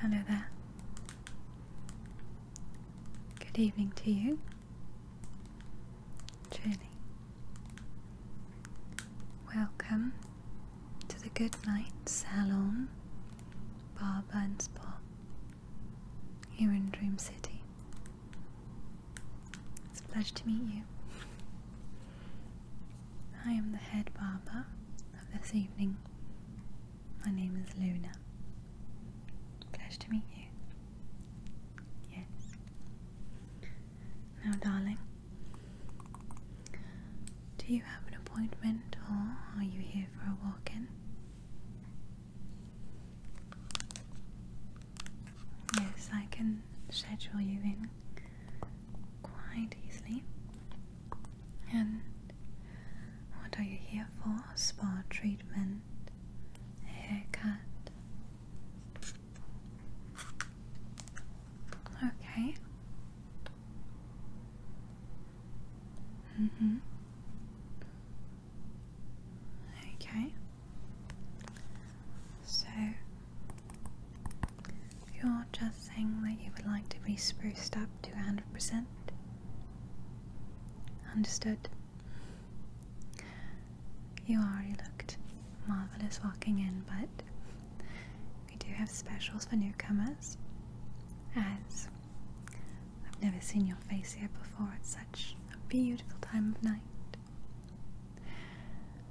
Hello there. Good evening to you. Truly. Welcome to the Good Night Salon Barber and here in Dream City. It's a pleasure to meet you. I am the head barber of this evening. My name is Luna. Pleasure to meet you. Yes. Now, darling, do you have an appointment or are you here for a walk in? Yes, I can schedule you in quite easily. And what are you here for? Spa treatment, haircut. Okay. Mm-hmm. Okay, so you're just saying that you would like to be spruced up to 100%. Understood. You already looked marvellous walking in, but we do have specials for newcomers as I've never seen your face here before at such a beautiful time of night.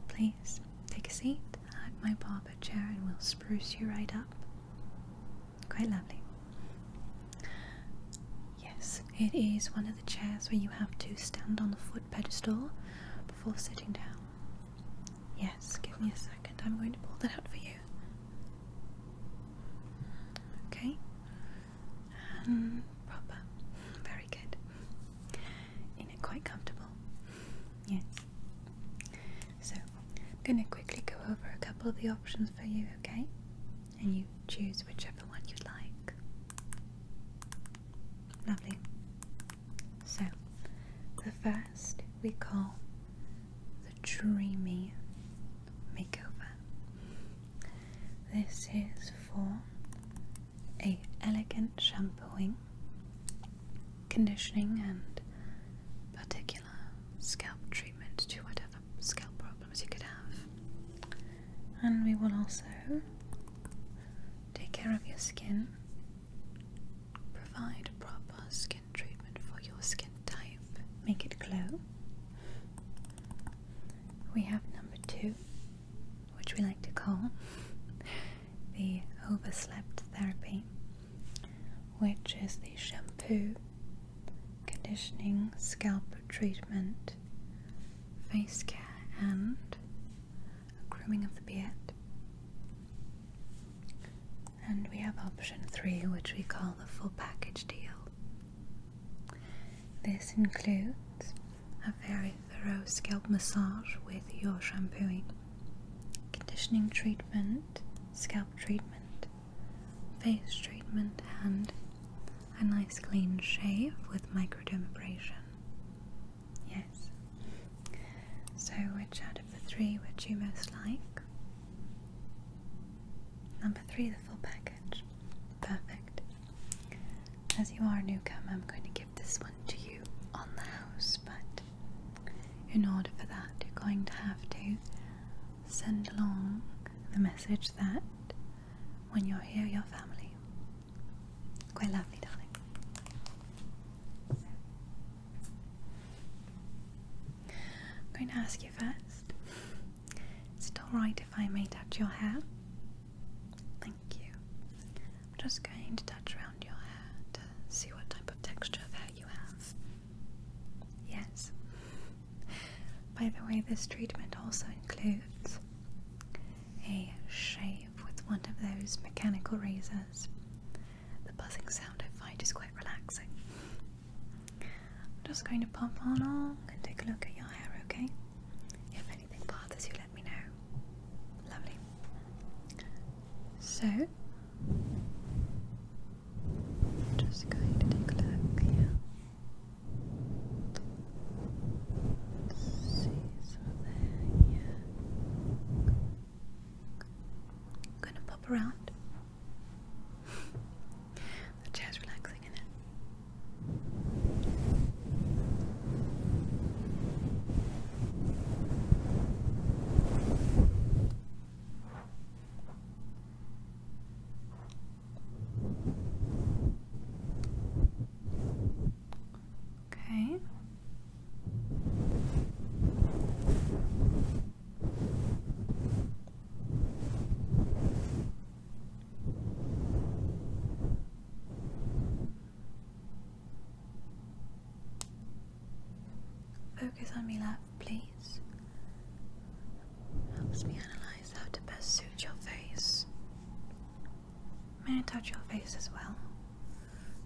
Please take a seat at my barber chair and we'll spruce you right up. Quite lovely. Yes, it is one of the chairs where you have to stand on the foot pedestal before sitting down. Yes, give me a second. I'm going to pull that out for you. Okay, um, Very good. Isn't it quite comfortable? Yes. So, I'm going to quickly go over a couple of the options for you, okay? And you choose whichever one you'd like. Lovely. So, the first we call the dreamy makeover. This is for a elegant shampooing, conditioning and particular scalp treatment to whatever scalp problems you could have. And we will also take care of your skin, provide proper skin treatment for your skin type, make it glow. We have number two, which we like to call the overslept therapy, which is the shampoo, conditioning, scalp treatment, face care, and grooming of the beard. And we have option three, which we call the full package deal, this includes a very thorough scalp massage with your shampooing, conditioning treatment, scalp treatment, face treatment, and a nice clean shave with microdermabrasion. Yes. So, which out of the three would you most like? Number three, the full package. Perfect. As you are a newcomer, I'm going to give this one to you on the house, but in order for that, you're going to have to send along the message that when you're here, your family. Quite lovely, darling. I'm going to ask you first is it alright if I may touch your hair? Thank you. I'm just going to touch around your hair to see what type of texture of hair you have. Yes. By the way, this treatment also includes a shave with one of those mechanical razors. The buzzing sound I find is quite relaxing. I'm just going to pop on along and take a look at your hair, okay? If anything bothers you, let me know. Lovely. So, just going to take a look here. see, so there, yeah. gonna pop around the chair's relaxing, in not it? Okay. Focus on my lap, please. Helps me analyze how to best suit your face. May I touch your face as well?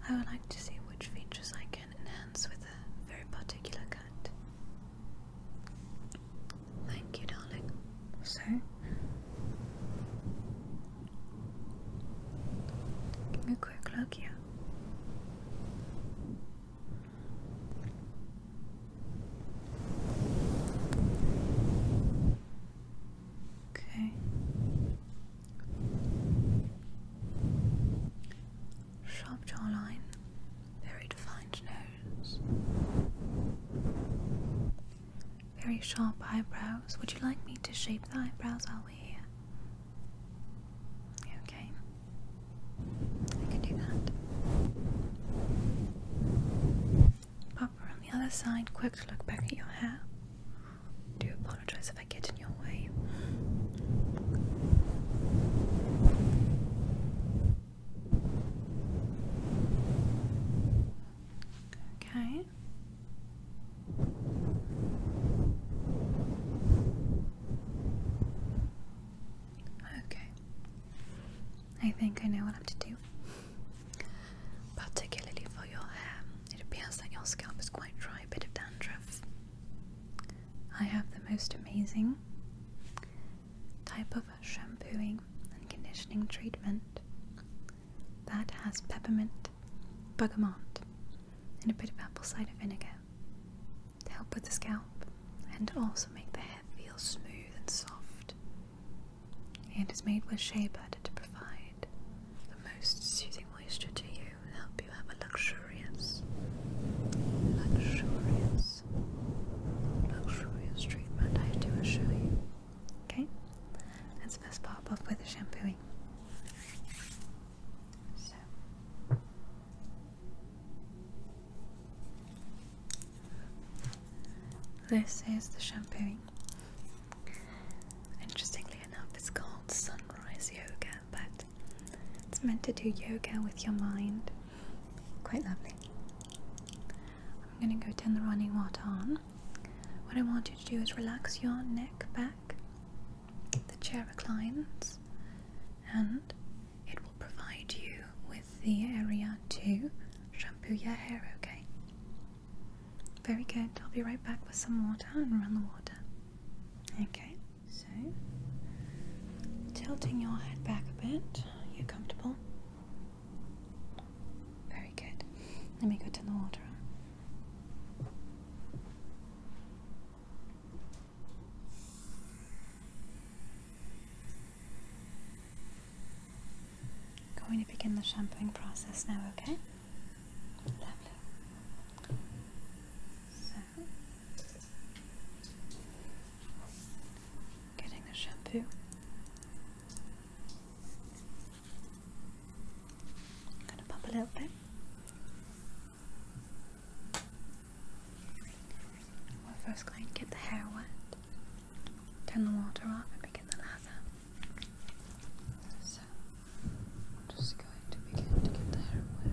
I would like to see which features I can enhance with a very particular cut. Thank you, darling. So, taking a quick look here. Okay. Sharp jawline, very defined nose very sharp eyebrows. Would you like me to shape the eyebrows while we're here? Okay, I can do that. Pop around the other side. Quick look back at your hair. Do apologize if I get in your way. Okay. Okay. I think I know what I have to do. Particularly for your hair, it appears that your scalp is quite dry, a bit of dandruff. I have the most amazing type of shampooing and conditioning treatment that has peppermint, bergamot, and a bit of apple cider vinegar to help with the scalp and also make the hair feel smooth and soft. It is made with shea butter to provide the most soothing moisture to you and help you have a luxurious, luxurious this luxurious treatment, I do assure you. Okay, let's first pop off with the shampooing. So. This is the shampooing. Interestingly enough, it's called Sunrise Yoga, but it's meant to do yoga with your mind. Quite lovely. I'm going to go turn the running water on. What I want you to do is relax your neck back, the chair reclines, and it will provide you with the area to shampoo your hair, okay? Very good. I'll be right back with some water and run the water. Okay, so tilting your head back a bit. Are you comfortable? Very good. Let me go to the water. Going to begin the shampooing process now, okay? getting the shampoo I'm going to pop a little bit. We're first going to get the hair wet, turn the water off, and begin the lather. So, just going to begin to get the hair wet.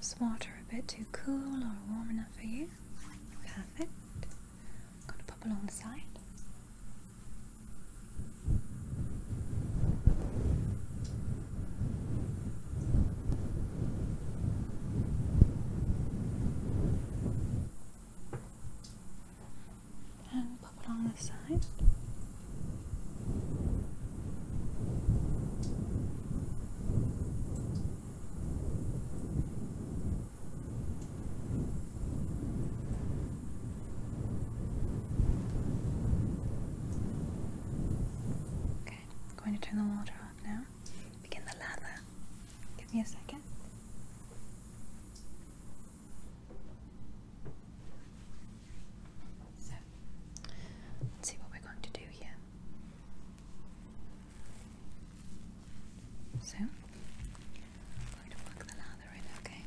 Is water a bit too cool or warm enough for you? Perfect. going to pop along the side. And pop along the side. Okay, I'm going to turn the water off now. Begin the lather. Give me a second let's see what we're going to do here. So, going to plug the lather in, Okay,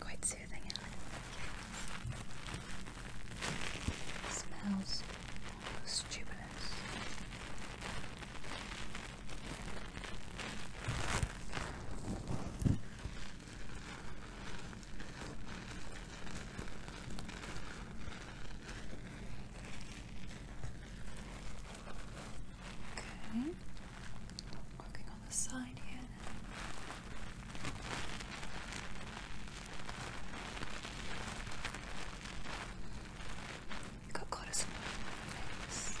Quite soothing, it? Smells almost stupidous. Okay. Working on the side here. Got cortisol in face. Okay.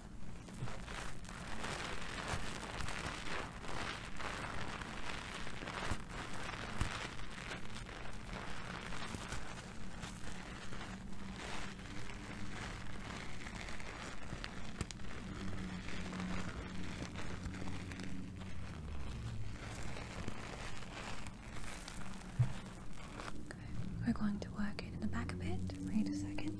we're going to work it in the back a bit. Wait a second.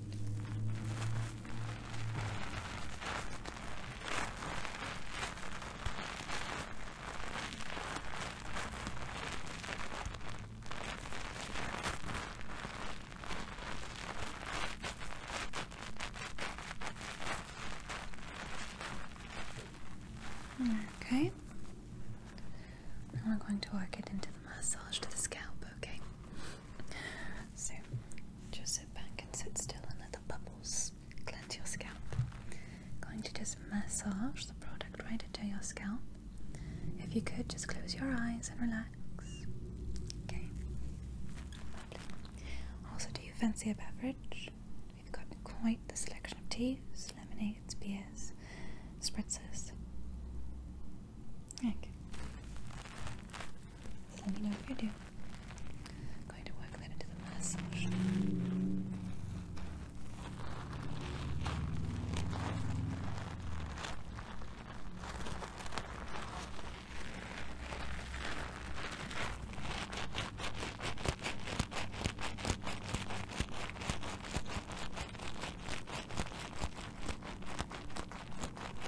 Okay. we're going to work it into the massage to the scalp, okay? So just sit back and sit still and let the bubbles cleanse your scalp. Going to just massage the product right into your scalp. If you could, just close your eyes and relax. Okay. Also, do you fancy a beverage? We've got quite the selection of teas, lemonades, beers, spritzers. Okay. Let me know if you do. I'm going to work that into the massage. Okay.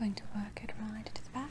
I'm going to work it right to the back.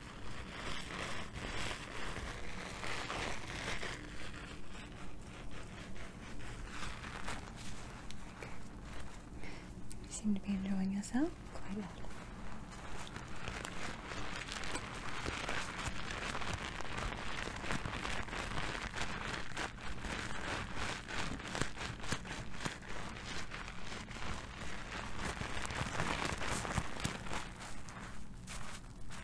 You seem to be enjoying yourself quite well.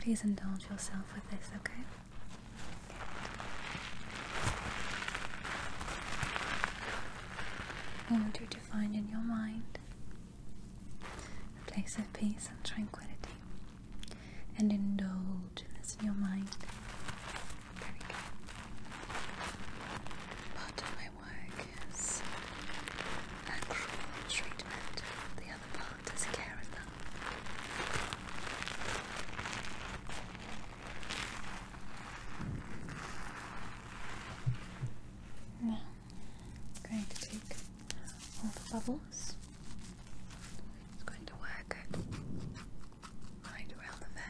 Please indulge yourself with this, okay? I want you to find in your mind a place of peace and tranquility and indulge in this in your mind there my work is actual treatment, the other part is caring Now, I'm going to take all the bubbles. It's going to work right around the van.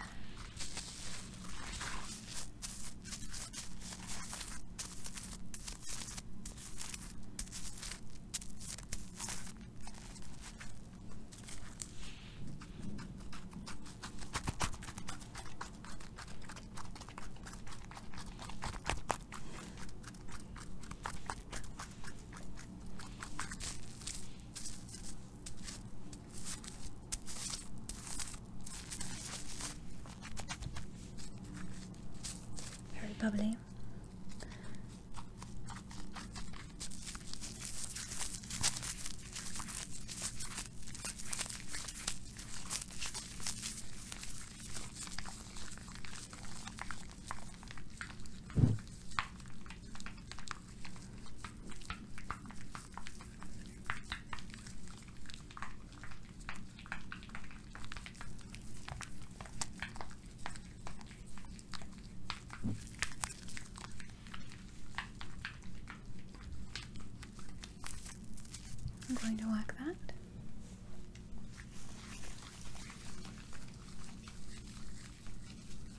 Very bubbly. I'm going to work. that.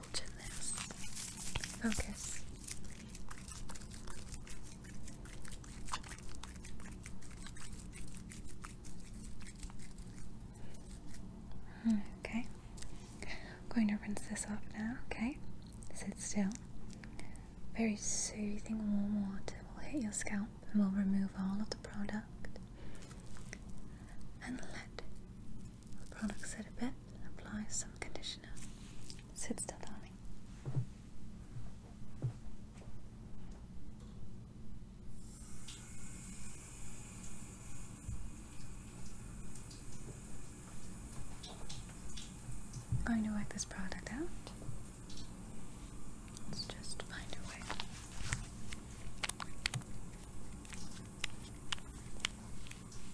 indulge Okay. I'm going to rinse this off now, okay? Sit still. Very soothing warm water will hit your scalp and will remove all of the product. And let the product sit a bit and apply some conditioner. Sit still, darling. I'm going to work this product out. Let's just find a way.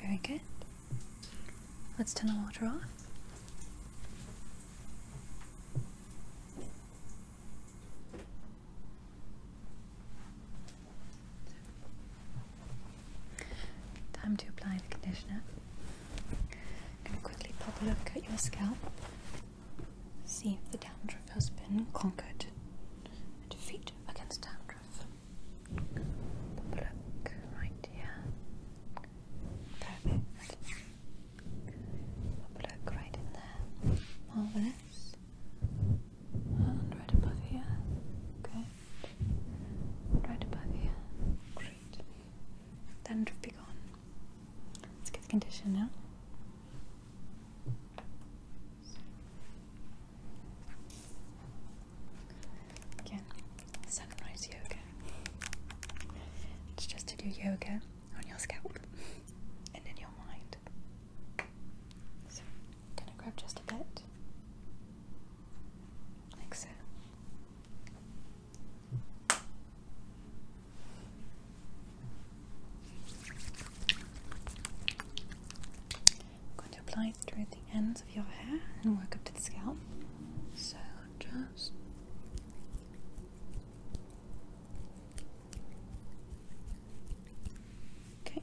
Very good. Let's turn the water off. Time to apply the conditioner. I'm going to quickly pop a look at your scalp, see if the dandruff has been conquered. Defeat against dandruff. look right here. Perfect. look right in there. Marvelous. And right above here. Good. Right above here. Great. Dandruff be gone. It's good condition now. Again, sunrise yoga. It's just to do yoga on your scalp and in your mind. So, gonna grab just a bit, like so going to apply it through the ends of your hair and work up to the scalp. So just okay.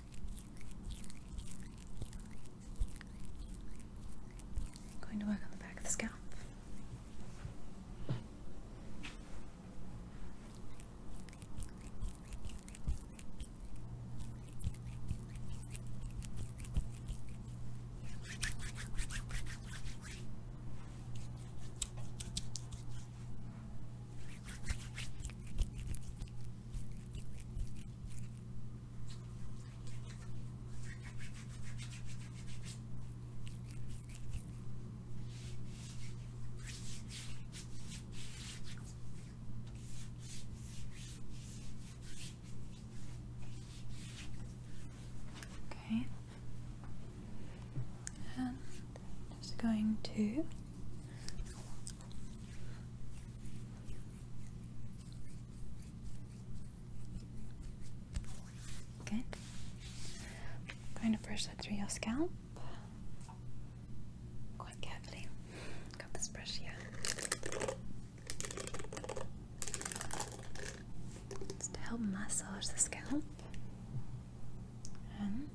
I'm going to work on the back of the scalp. Okay, and I'm just going to Good. going to brush that through your scalp quite carefully. Got this brush here. It's to help massage the scalp. And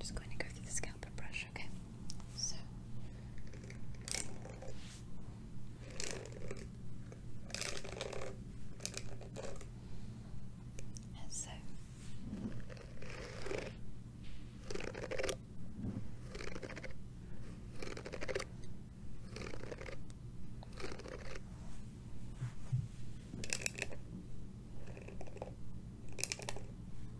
just going to go through the scalp and brush, okay? So and so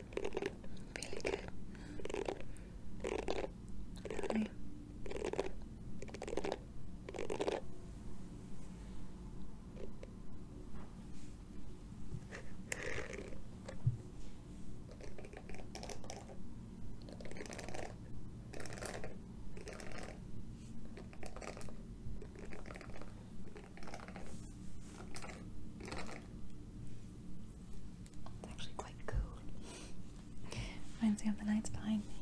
Really good. Really. It's actually quite cool. Reminds me of the nights behind me.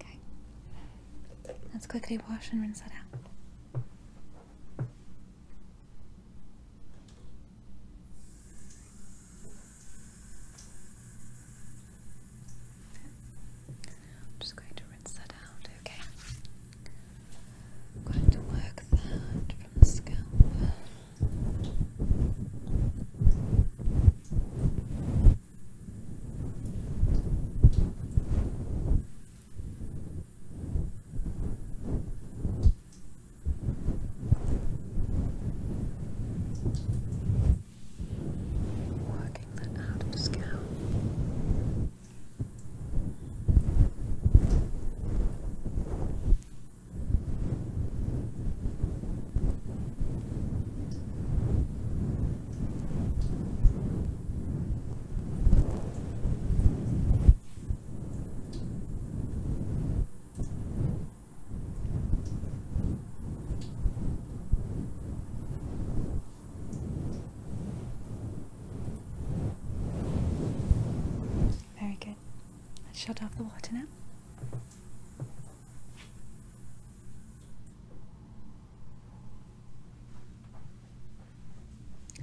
Okay. Let's quickly wash and rinse that out. I'm just going to rinse that out, okay? I'm going to work that from the scalp working that out of the scalp. Very good. Let's shut off the water now.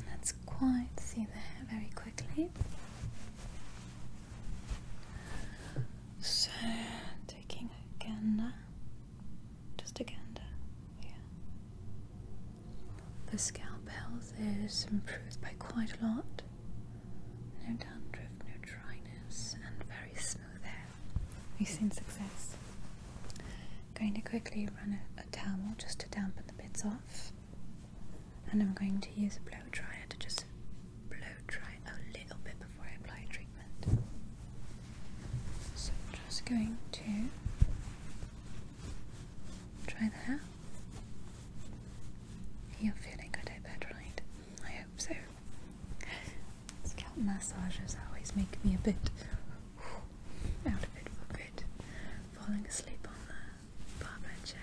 let's quite see the very quickly. So, taking again just again, to, yeah. The scalp health is improved by quite a lot. No down drift, no dryness, and very smooth hair. We've seen success. Going to quickly run a, towel just to dampen the bits off, and I'm going to use a blow dryer to just blow dry a little bit before I apply treatment. So I'm just going to try that out. You're feeling good, I bet, right? I hope so. Scalp massages always make me a bit out of it for good. Falling asleep on the barber chair.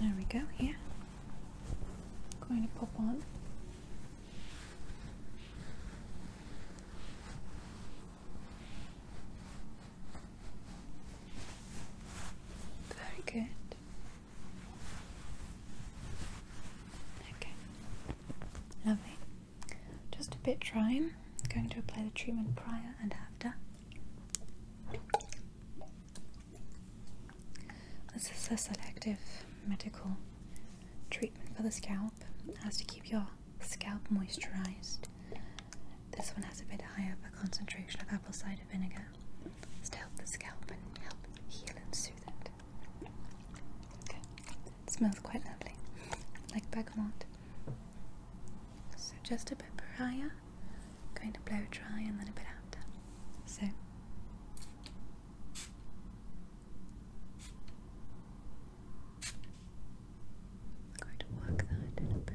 There we go, here. I'm going to pop on very good. Okay, lovely. Just a bit trying. I'm going to apply the treatment prior and after. This is a selective medical treatment for the scalp. It has to keep your scalp moisturized. This one has a bit higher concentration of apple cider vinegar. It's to help the scalp and help heal and soothe it. It smells quite lovely, like bergamot. So just a bit prior, going to blow dry and then a bit after. So. going to work that a bit.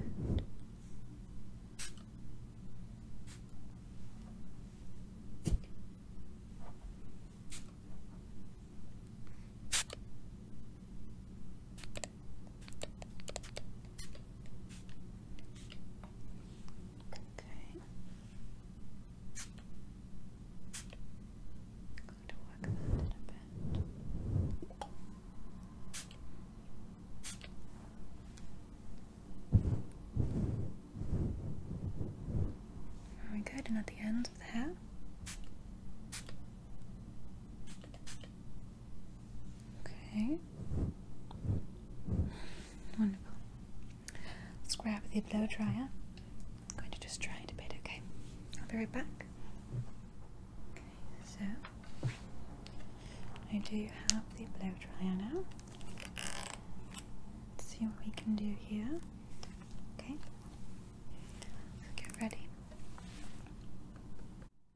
Okay. i going to work that a bit. Very good, and at the ends of the hair. Okay. Wonderful. Let's grab the blow dryer. I'm going to just dry it a bit, okay? I'll be right back. so I do have the blow dryer now. Let's see what we can do here. Okay. So get ready.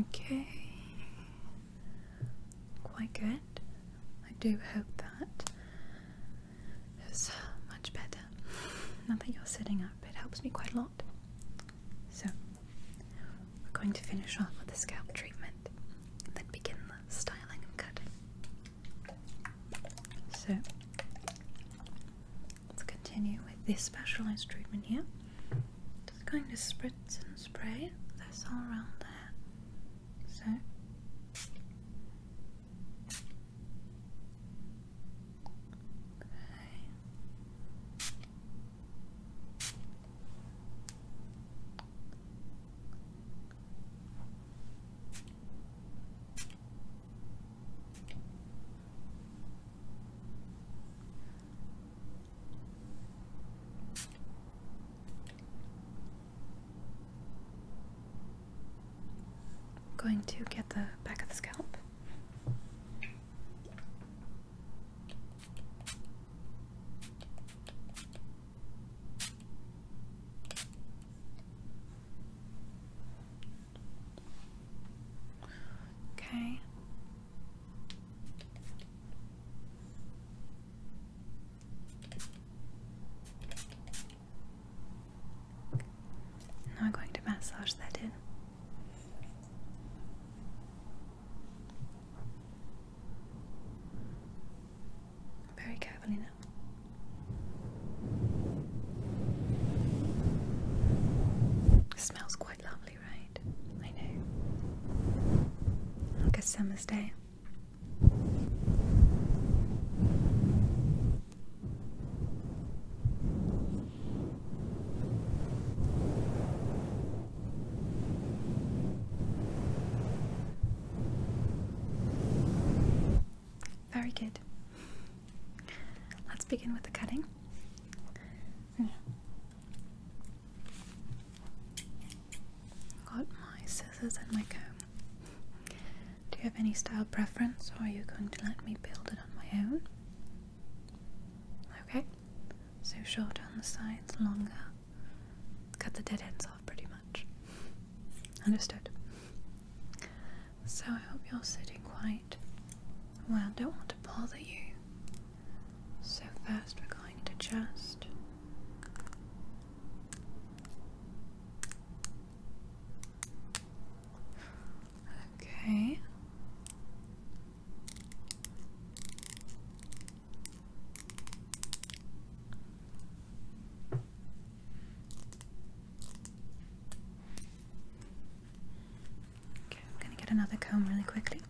Okay. Quite good. I do hope that is much better. now that you're sitting up, it helps me quite a lot. So, we're going to finish off with the scalp treatment and then begin the styling and cutting. So, let's continue with this specialized treatment here just going to spritz and spray this all around there. So Going to get the back of the scalp. Okay, now I'm going to massage that in. Very carefully now. smells quite lovely right. I know. Like a summer's day. Very good. Let's begin with the cutting. Got my scissors and my comb. Do you have any style preference or are you going to let me build it on my own? Okay, so shorter on the sides, longer. Cut the dead ends off pretty much. Understood. So I hope you're sitting quite well. Don't want to bother you so first we're going to just Okay. Okay, I'm going to get another comb really quickly.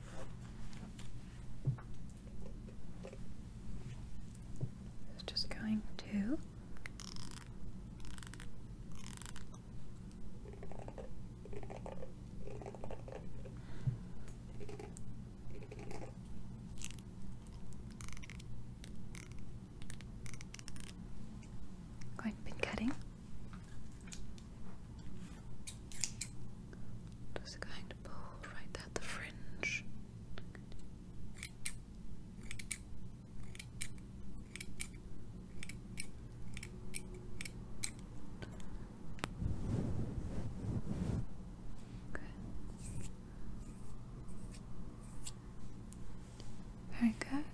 It's just going to going to cutting just going to pull right at the fringe. Okay. Very good.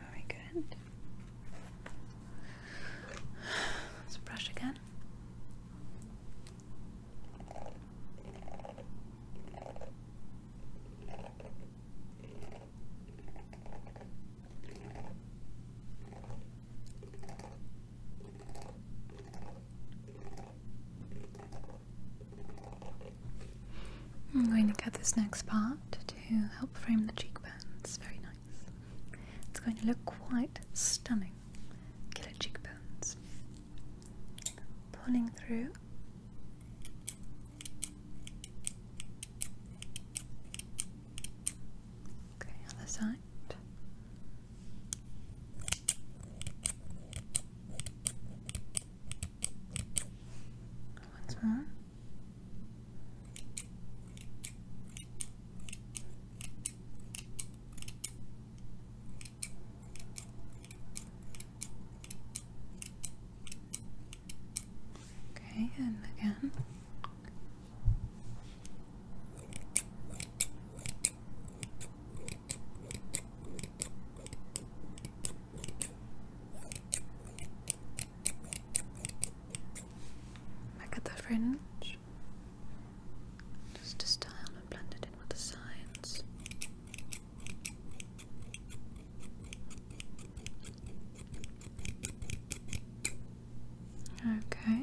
Very good. Let's brush again. I'm going to cut this next part to help frame the cheekbones. Very nice. It's going to look quite stunning. Killer cheekbones. Pulling through Okay, other side. Once more. Okay, and again. Back at the fringe. Just to style and blend it in with the signs. Okay.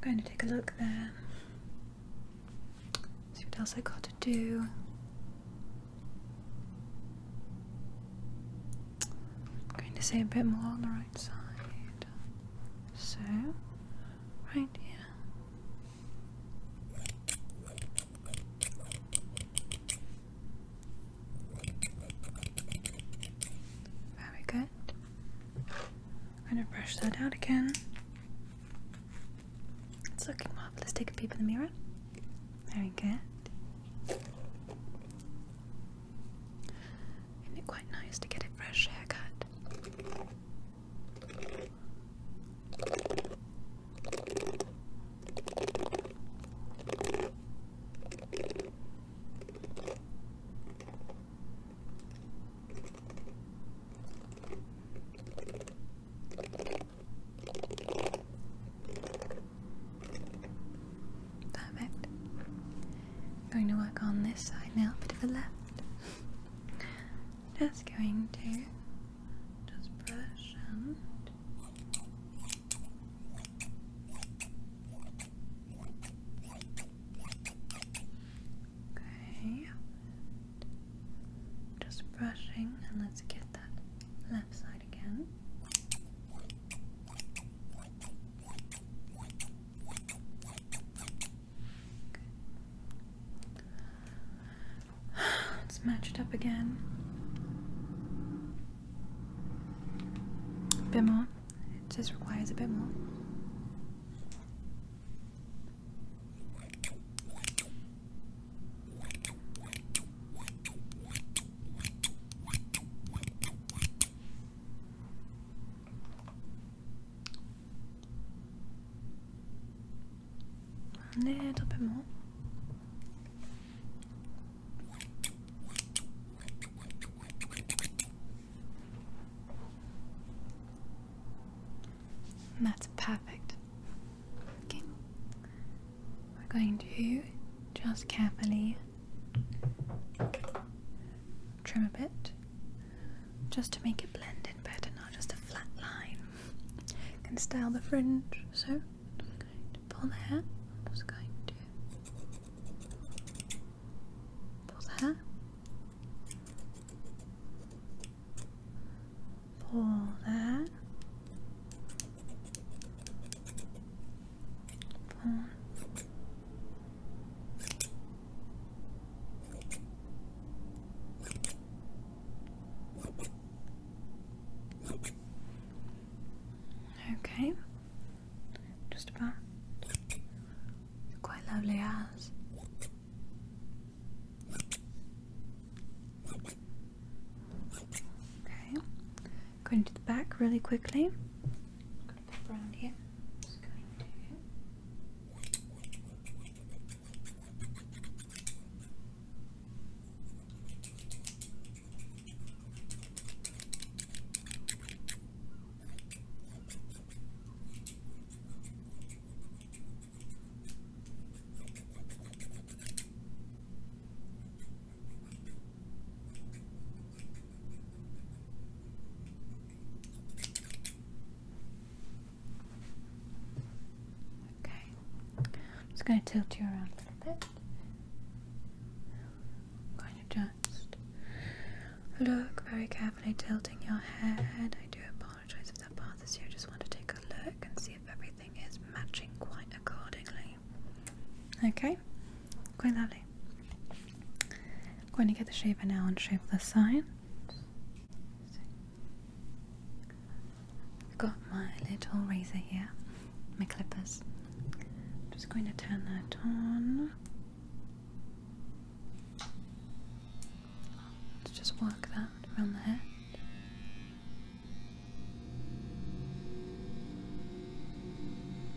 going to take a look there. See what else I got to do. I'm going to say a bit more on the right side. So, right here. Very good. I'm going to brush that out again. It's looking Let's Take a peep in the mirror. Very good. Isn't it quite nice to get a fresh haircut? Perfect. Going to work on this side now, a bit of the left. Just going to just brush okay. Just brushing and let's get that left side again. It's matched up again. A bit more. It just requires a bit more. A little That's perfect. We're going to just carefully trim a bit just to make it blend in better, not just a flat line. You can style the fringe, so pull that. I'm just going to pull that. pull that. pull, Okay, just about quite lovely eyes. Okay, going to the back really quickly pop around here. I'm just going to Okay, I'm just going to tilt you around a little bit. I'm going to just look very carefully, tilting your head. I do apologize if that bothers you. I just want to take a look and see if everything is matching quite accordingly. Okay, quite lovely. I'm going to get the shaver now and shave this side. I've got my little razor here, my clippers. just going to turn that on. Let's just work that around the head.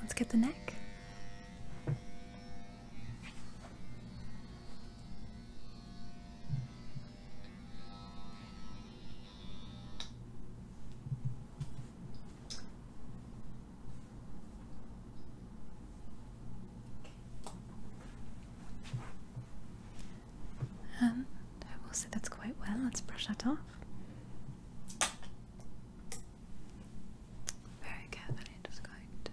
Let's get the neck. And um, I will say that's quite well. Let's brush that off. Very carefully, just going to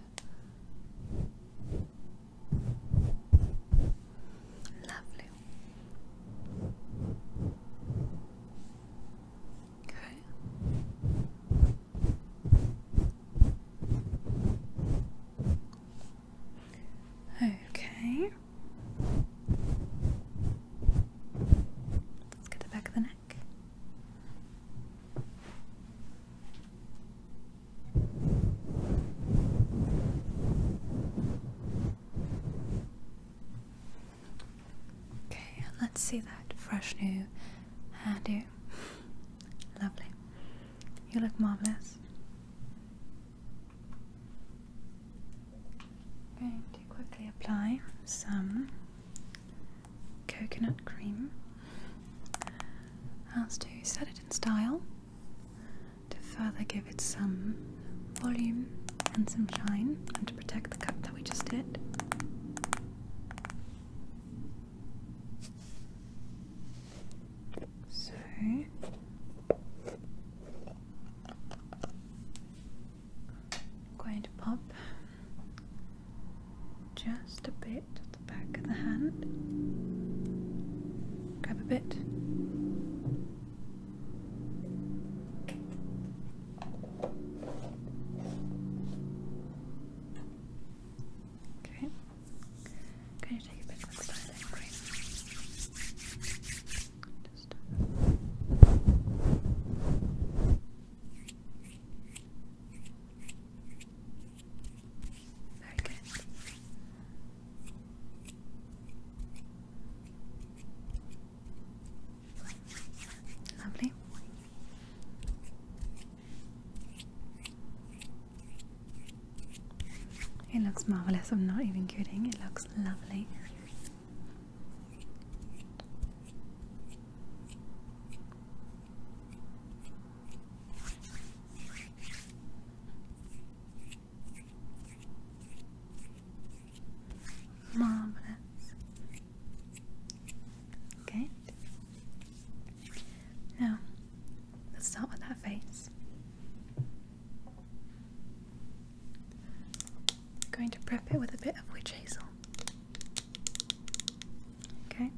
Lovely. Okay. Okay. Let's get the back of the neck. Okay, let's see that fresh new hairdo. Lovely. You look marvelous. i to quickly apply some coconut cream as to set it in style to further give it some volume and some shine and to protect the cup that we just did. So going to pop just a bit at the back of the hand. Grab a bit. Okay. Can you take a bit of the styling cream? Just very good. Lovely. It looks marvelous. I'm not even kidding. It looks lovely. Marvelous. Good. Now, let's start with that face. I'm going to prep it with a bit of witch hazel. Okay.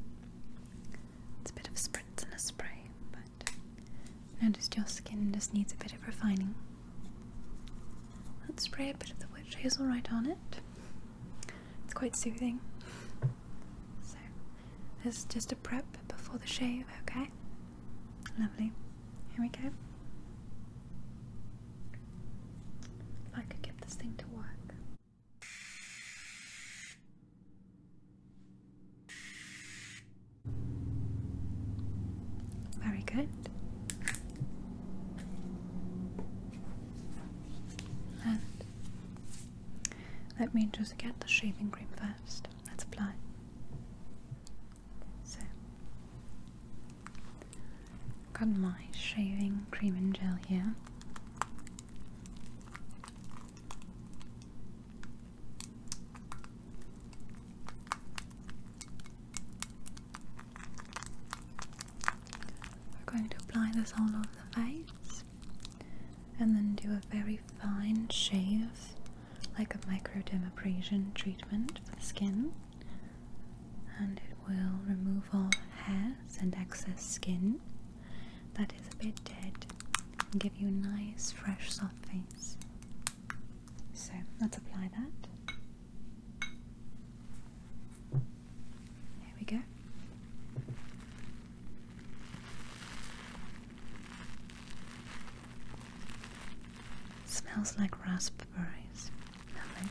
It's a bit of a and a spray, but notice your skin just needs a bit of refining. Let's spray a bit of the witch hazel right on it. It's quite soothing. So, this just a prep before the shave, okay? Lovely. Here we go. If I could get this thing to work, very good. And let me just get the shaving cream first. Let's apply. So, got my shaving cream and gel here. We're going to apply this all over the face and then do a very fine shave, like a microdermabrasion treatment for the skin, and it will remove all hairs and excess skin that is a bit dead give you a nice, fresh, soft face. So let's apply that. There we go. Smells like raspberries. Lovely.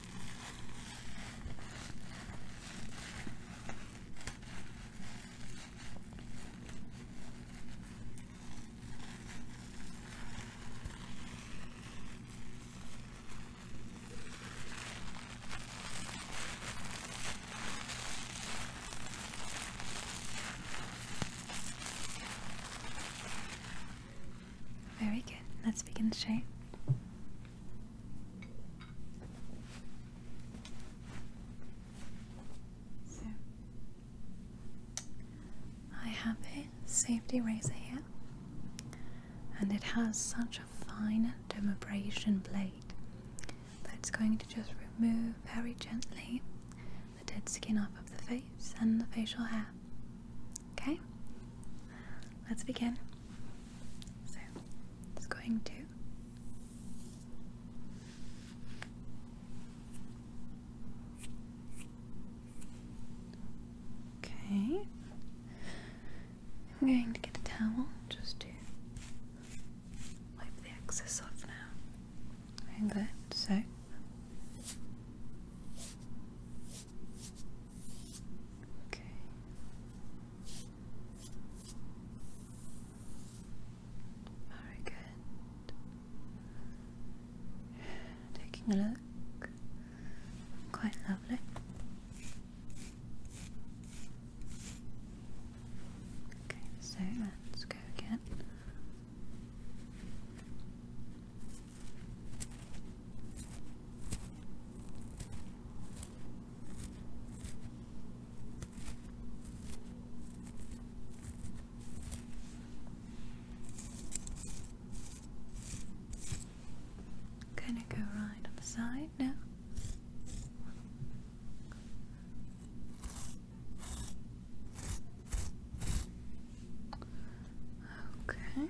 Very good. Let's begin the shape. So I have a safety razor here, and it has such a fine dermabrasion blade that it's going to just remove very gently the dead skin off of the face and the facial hair. Okay, let's begin. So it's going to Okay. I'm going to get a towel just to wipe the excess off now. Like so Okay. Very good. Taking a look. Quite lovely. Okay, so let's go again. Gonna go right on the side now. Okay.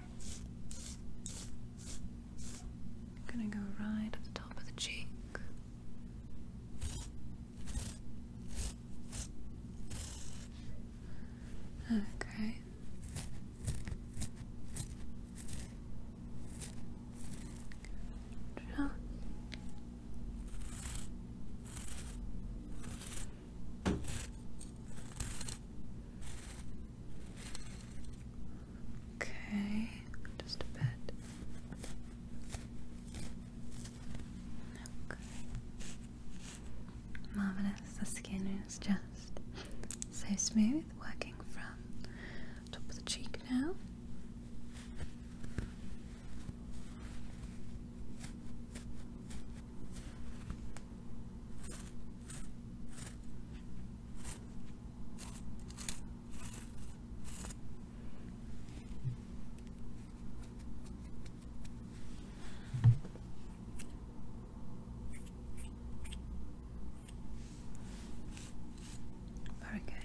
I'm gonna go right at the top of the cheek. Okay. Just Okay, just a bit. Okay. Marvelous. The skin is just so smooth, working from top of the cheek now. Very good.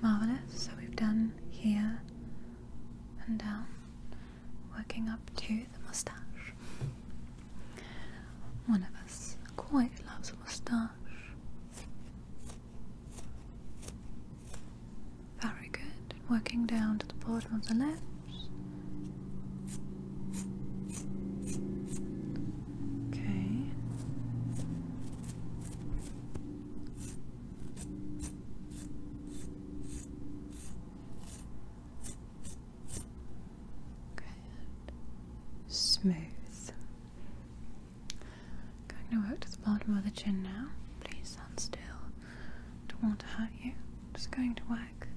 Marvelous. So we've done here and down working up to the moustache. One of us quite loves a moustache. Very good. Working down to the bottom of the lips. Okay. Smooth. Going to work to the bottom of the chin now. Please stand still. Don't want to hurt you. Just going to work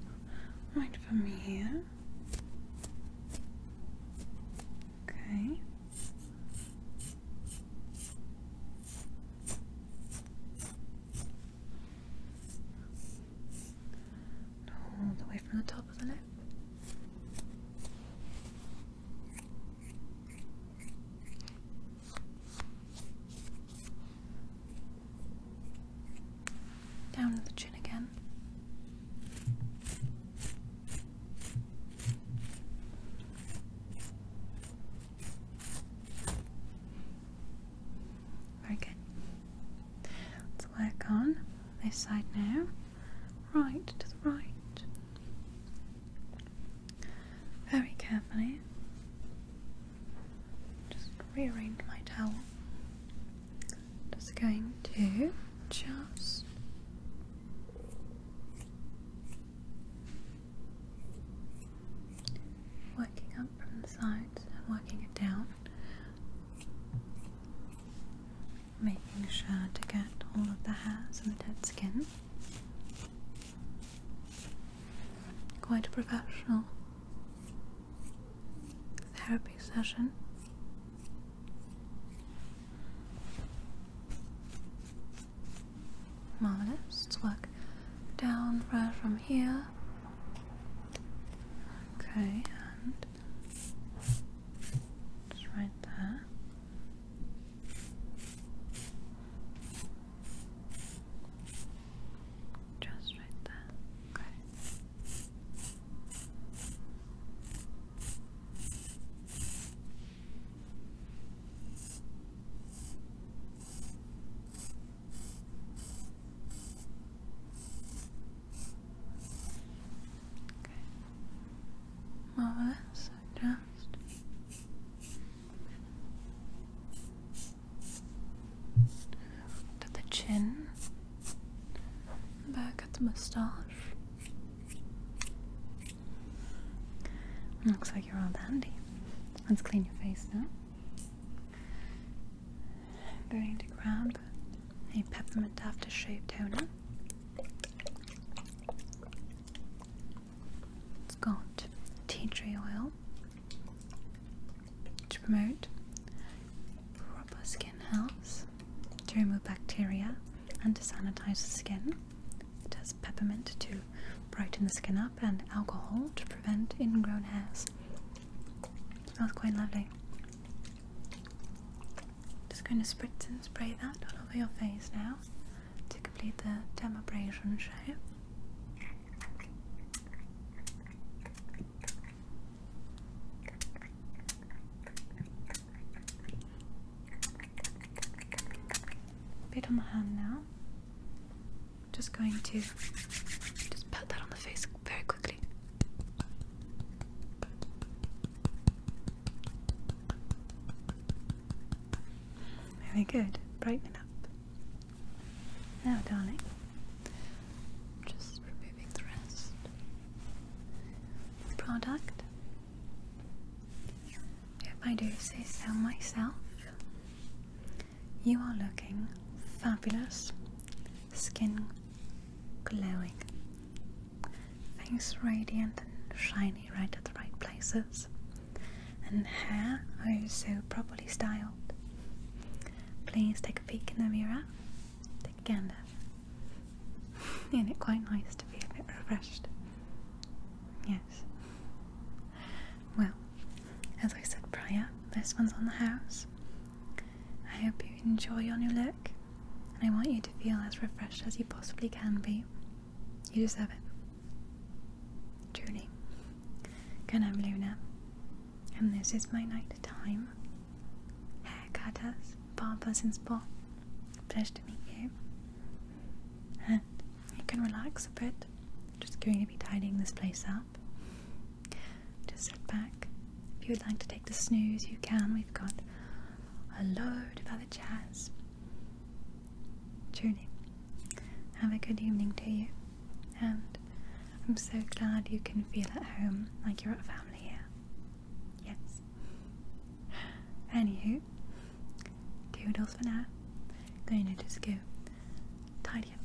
right from here. Okay. No, all the way from the top of the neck, Down to the chin again. Very good. Let's work on this side now. Right to the right. Very carefully. Just rearrange my towel. Just going to just working up from the sides and working it down making sure to get all of the hairs and the dead skin quite a professional therapy session marvelous, let's work down right from here Okay, and right there. Just right there. Okay. Okay. Marvelous. Just. To the chin, back at the moustache. Looks like you're all dandy. Let's clean your face now. I'm going to grab a peppermint after shave toner. It's got tea tree oil to promote proper skin health, to remove bacteria, and to sanitize the skin. It has peppermint to brighten the skin up and alcohol to prevent ingrown hairs. Smells quite lovely. Just going to spritz and spray that all over your face now to complete the dermabrasion show. Bit on the hand now. Just going to just put that on the face very quickly. Very good. Brighten up. Now, darling, just removing the rest. Product, if I do say so myself, you are looking fabulous. Skin glowing. things radiant and shiny right at the right places. And hair oh so properly styled. Please take a peek in the mirror. Take Isn't it quite nice to be a bit refreshed? Yes. Well, as I said prior, this one's on the house. I hope you enjoy your new look, and I want you to feel as refreshed as you possibly can be. You deserve it. Truly. Good I'm Luna, and this is my night time. Haircutters, barbers, and spa. Pleasure to meet you. And you can relax a bit. Just going to be tidying this place up. Just sit back. If you would like to take the snooze, you can. We've got a load of other chats. Truly, have a good evening to you. And I'm so glad you can feel at home like you're at family here. Yes. Anywho, doodles for now. Going to just go tidy up.